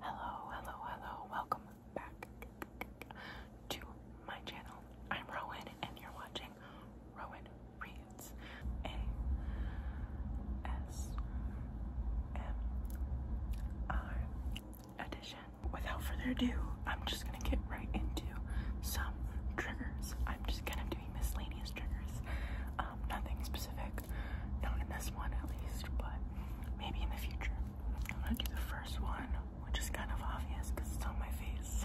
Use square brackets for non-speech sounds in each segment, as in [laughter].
Hello, hello, hello. Welcome back to my channel. I'm Rowan and you're watching Rowan Reads A S M R edition. Without further ado, I'm just gonna get right into some triggers. I'm just kind of doing miscellaneous triggers. Um, nothing specific, not in this one at least, but maybe in the future. I'm gonna do the first one, which is kind of obvious because it's on my face.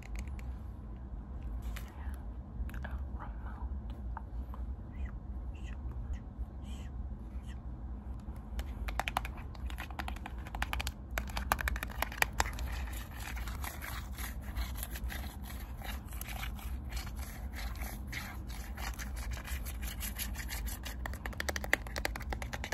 have a remote.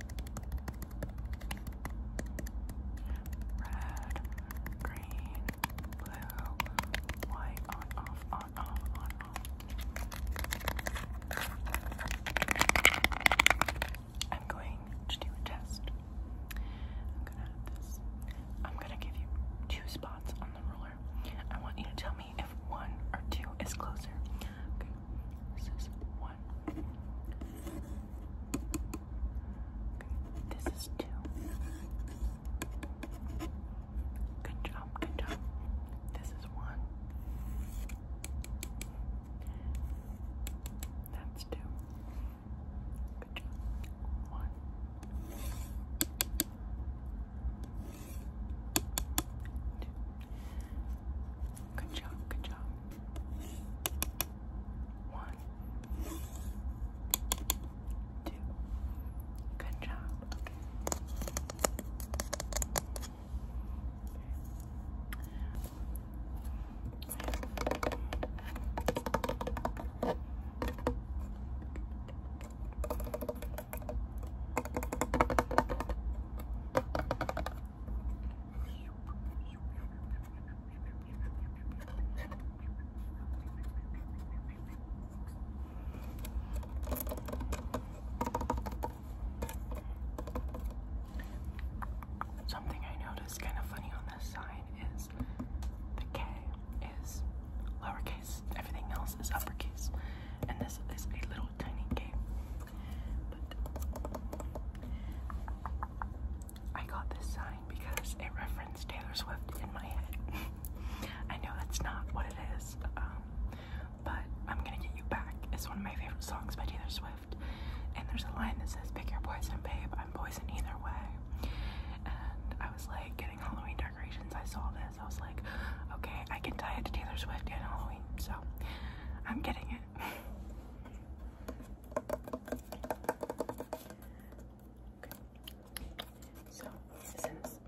Red, green, blue, white, on, off, on, off, on, off. I'm going to do a test. I'm gonna add this. I'm gonna give you two spots on the ruler. I want you to tell me if one or two is closer. This is one. this is two. Good job, good job. This is one. That's two. Good job. One. Two. Good job, good job. One. Two. Good job. Something I noticed kind of funny on this sign is the K is lowercase, everything else this is uppercase, and this is a little tiny game. I got this sign because it referenced Taylor Swift in my head. [laughs] I know that's not what it is, um, but I'm gonna get you back. It's one of my favorite songs by Taylor Swift, and there's a line that says, "Pick your poison, babe. I'm poison either way." And I was like, getting Halloween decorations. I saw this. I was like, okay, I can tie it to Taylor Swift and Halloween, so I'm getting it. So since [laughs]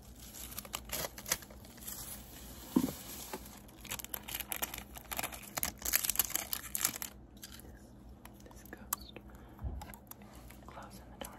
This ghost glows in the dark.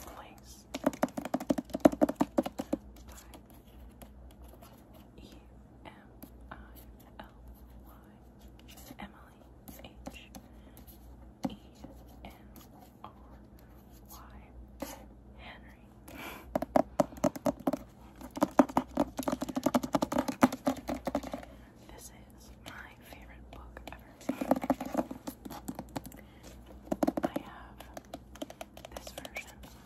place, time, E M I L Y, Emily Henry. This is my favorite book ever. I have this version, which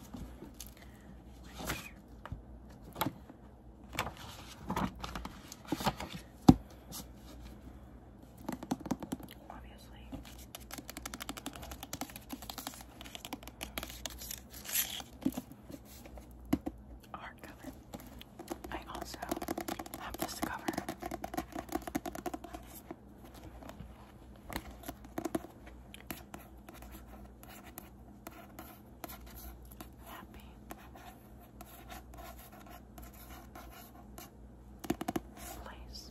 obviously hardcover. I also have this cover. Happy. Place.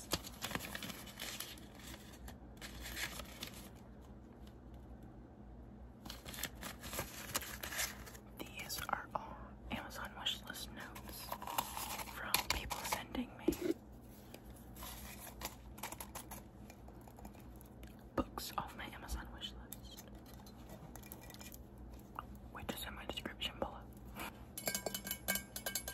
These are all Amazon wishlist notes from people sending me books off my Amazon wishlist, which is in my description below.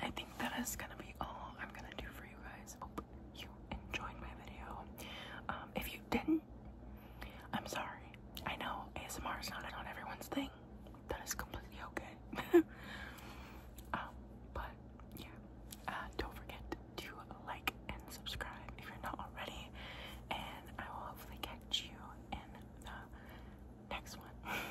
I think that is gonna be all I'm gonna do for you guys. Hope you enjoyed my video. Um, if you didn't, I'm sorry. I know ASMR is not on everyone's thing. That is completely okay. [laughs] um, but yeah, uh, don't forget to like and subscribe if you're not already. And I will hopefully catch you in the next one. [laughs]